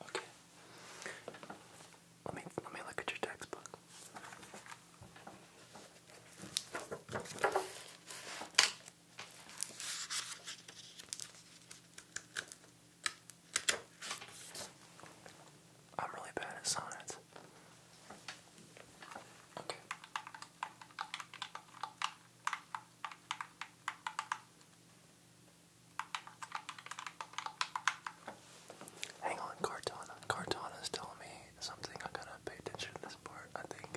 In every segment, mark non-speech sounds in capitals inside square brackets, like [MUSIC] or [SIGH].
Okay. Let me let me look at your textbook. I'm really bad at sonnets. Okay. Hang on, Cortana. Cortana's telling me something. I gotta pay attention to this part, I think.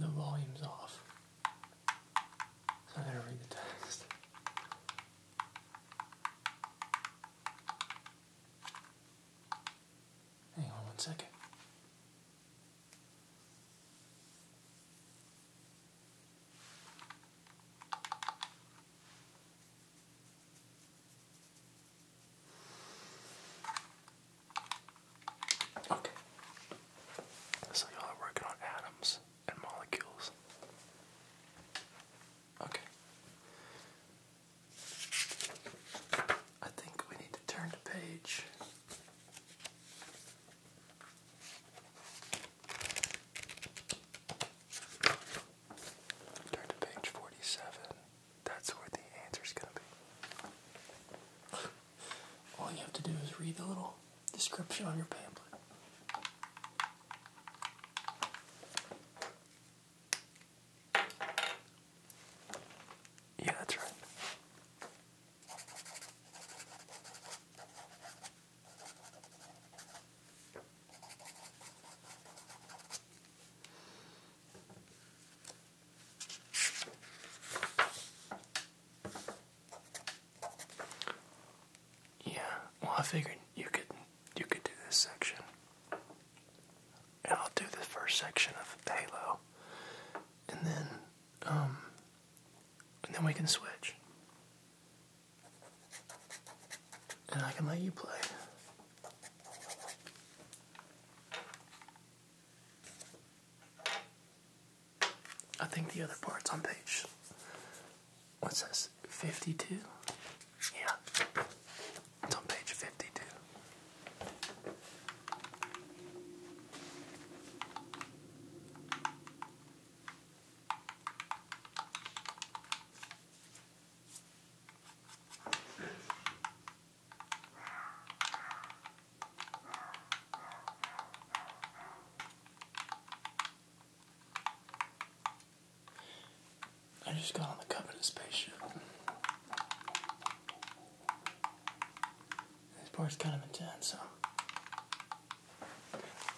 the volume's off. So I gotta read the text. Hang on one second. Okay. So y'all are working on atoms and molecules. Okay. I think we need to turn the page. Turn to page 47. That's where the answer's gonna be. All you have to do is read the little description on your pamphlet. Yeah, that's right. Yeah, well I figured you could you could do this section. And I'll do the first section of Halo. And then um and then we can switch. And I can let you play. I think the other part's on page. What's this? 52? Yeah. It's on page 52. I just got on the coveted spaceship. This part's kind of intense, so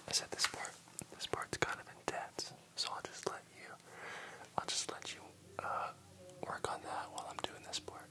I said this part. This part's kind of intense, so I'll just let you. I'll just let you uh, work on that while I'm doing this part.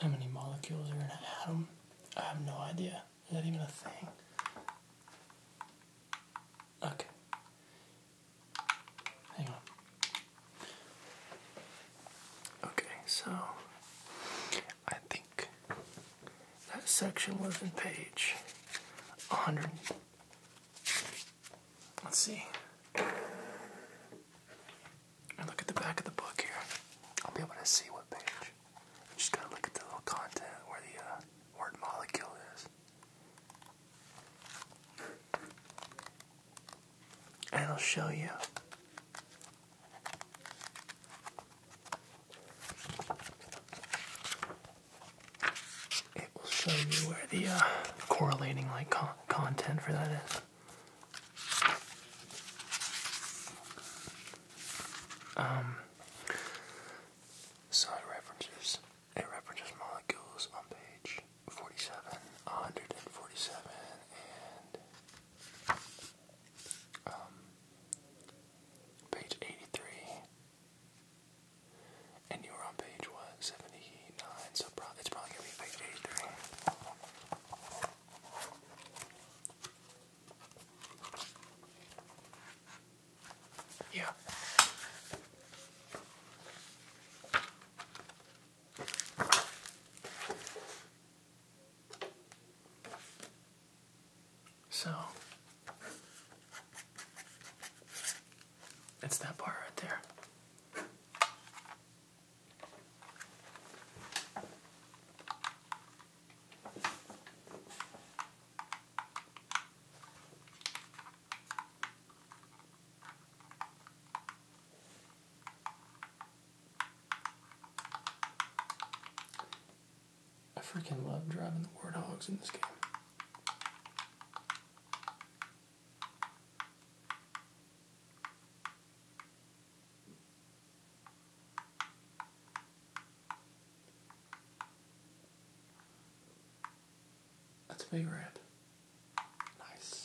How many molecules are in an atom? I have no idea. Not even a thing. Okay. Hang on. Okay, so I think that section was in page 100. Let's see. I look at the back of the book here. I'll be able to see what page. I'm just gonna look at the little content where the uh, word molecule is. And i will show you it will show you where the uh, correlating like content for that is. Um, so it references it references molecules on page 47, 147, and um, page 83. And you were on page what 79, so it's probably gonna be page 83. Yeah. So it's that bar right there. I freaking love driving the warthogs in this game. That's way red. Nice.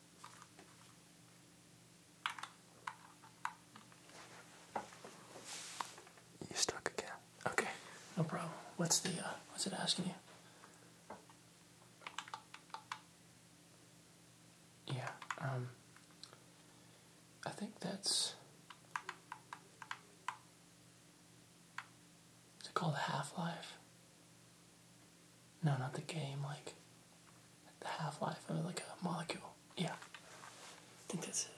You stuck again. Okay, no problem. What's the uh, what's it asking you? Yeah, um, I think that's. Is it called Half Life? No, not the game, like the half life of like a molecule. Yeah. I think that's it.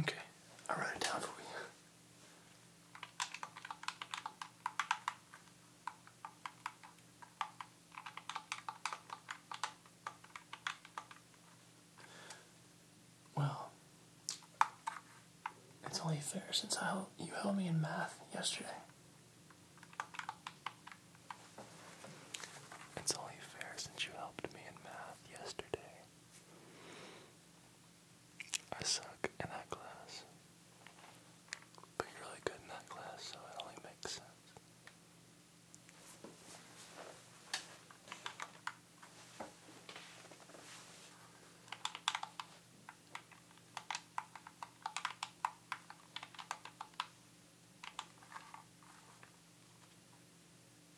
Okay, I'll it down for you. Well, it's only fair since I held, you held me in math yesterday. It's only fair since you helped me in math yesterday. I suck in that class. But you're really good in that class, so it only makes sense.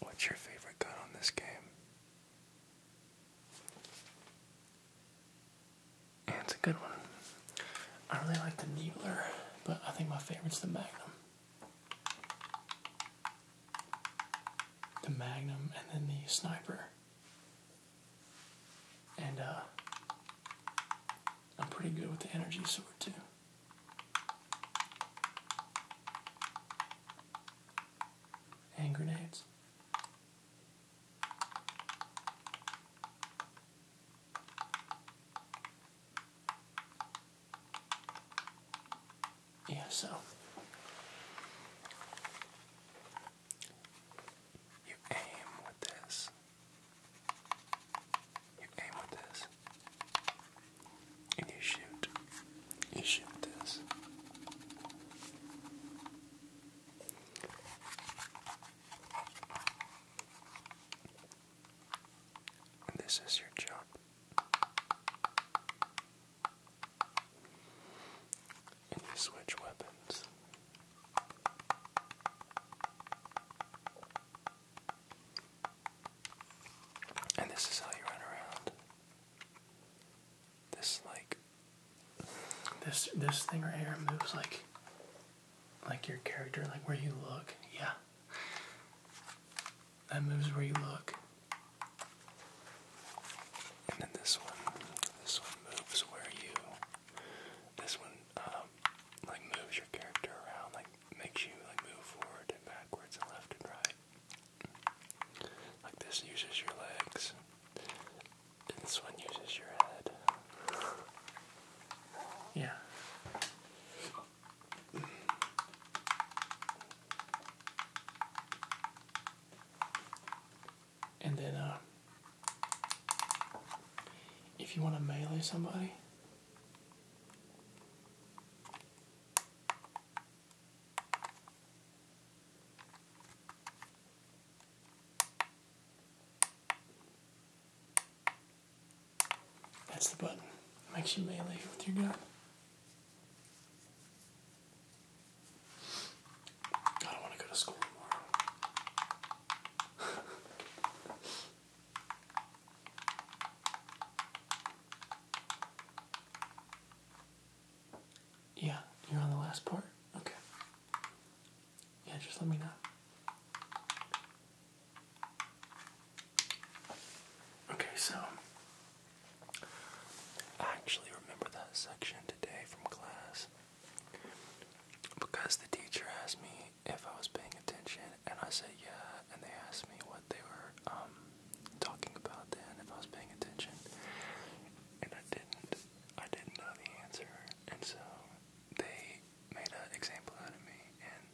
What's your favorite gun on this game? it's a good one. I really like the Needler, but I think my favorite's the Magnum. The Magnum and then the Sniper. And uh, I'm pretty good with the Energy Sword too. And grenades. Yeah, so you aim with this you aim with this, and you shoot. You shoot this. this is your job. And you switch weapons. And this is how you run around. This like this this thing right here moves like like your character, like where you look. Yeah. That moves where you look. And then this one, this one moves where you, this one, um, like moves your character around, like makes you like move forward and backwards and left and right. Like this uses your legs. And this one uses your head. Yeah. And then, uh, if you want to melee somebody, that's the button. Makes you melee with your gun. I don't want to go to school tomorrow. [LAUGHS] Yeah, you're on the last part? Okay. Yeah, just let me know. Okay, so I actually remember that section today from class because the teacher asked me if I was paying attention, and I said yeah, and they asked me what they were um, talking about then, if I was paying attention, and I didn't, I didn't know the answer, and so they made an example out of me and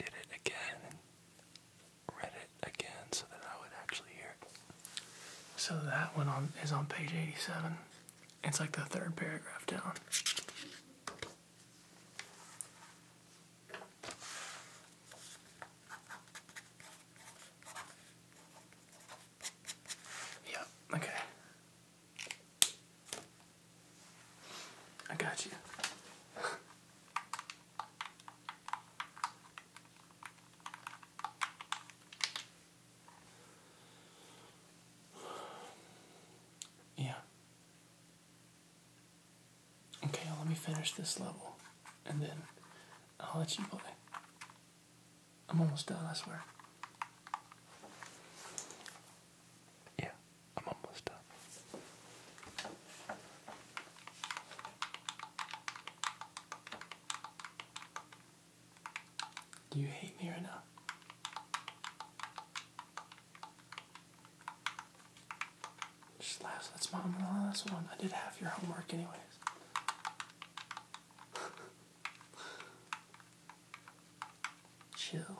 did it again read it again so that I would actually hear So that one on, is on page 87. It's like the third paragraph down. Yep, okay. I got you. Yeah. Okay, let me finish this level and then I'll let you play. I'm almost done, I swear. Yeah, I'm almost done. Do you hate me right now? Just last, that's mom and the last one. I did half your homework anyways. [LAUGHS] Chill.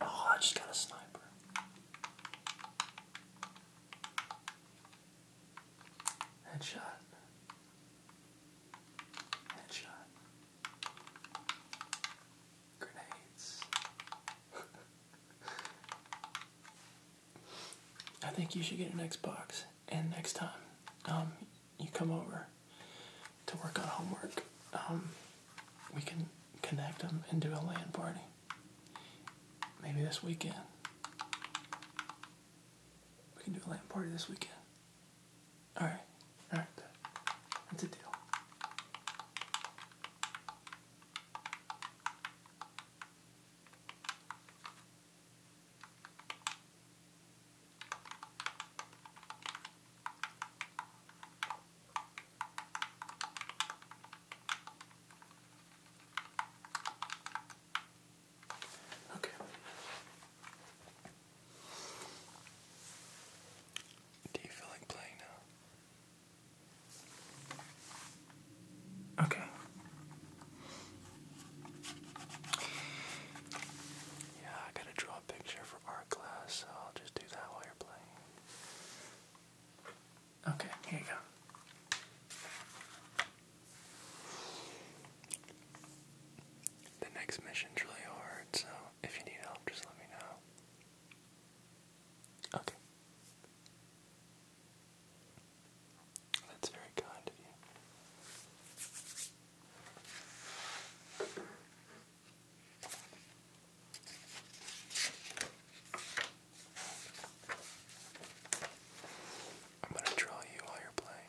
Oh, I just got a sniper. Headshot. Headshot. Grenades. [LAUGHS] I think you should get an Xbox, and next time um, you come over, to work on homework, um, we can connect them and do a land party. Maybe this weekend. We can do a land party this weekend. Alright, alright, that's a deal. Okay. Do you feel like playing now? Okay. Yeah, I gotta draw a picture art class, so I'll just do that while you're playing. Okay, here you go. The next mission's really hard, so if you need help, just let me know. Okay. That's very kind of you. I'm going to draw you while you're playing.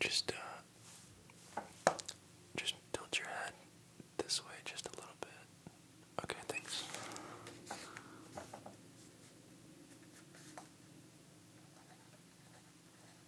Just uh, just tilt your head this way just a little bit. Okay, thanks.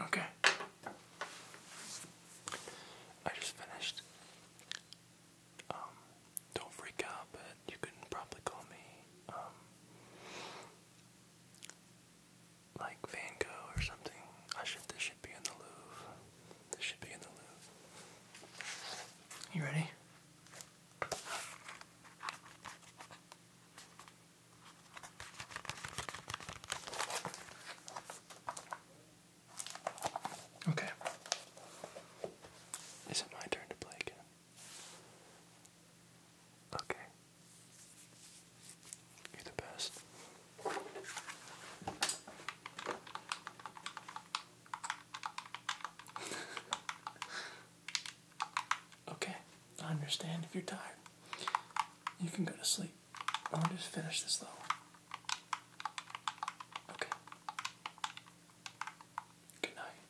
Okay. I just finished. Um, don't freak out, but you can probably call me. Um, like Van Gogh or something. I should. This should be in the Louvre. This should be in the Louvre. You ready? Okay. Is it my turn to play again? Okay. You're the best. [LAUGHS] okay, I understand if you're tired. You can go to sleep. I'll just finish this though. Okay. Good night.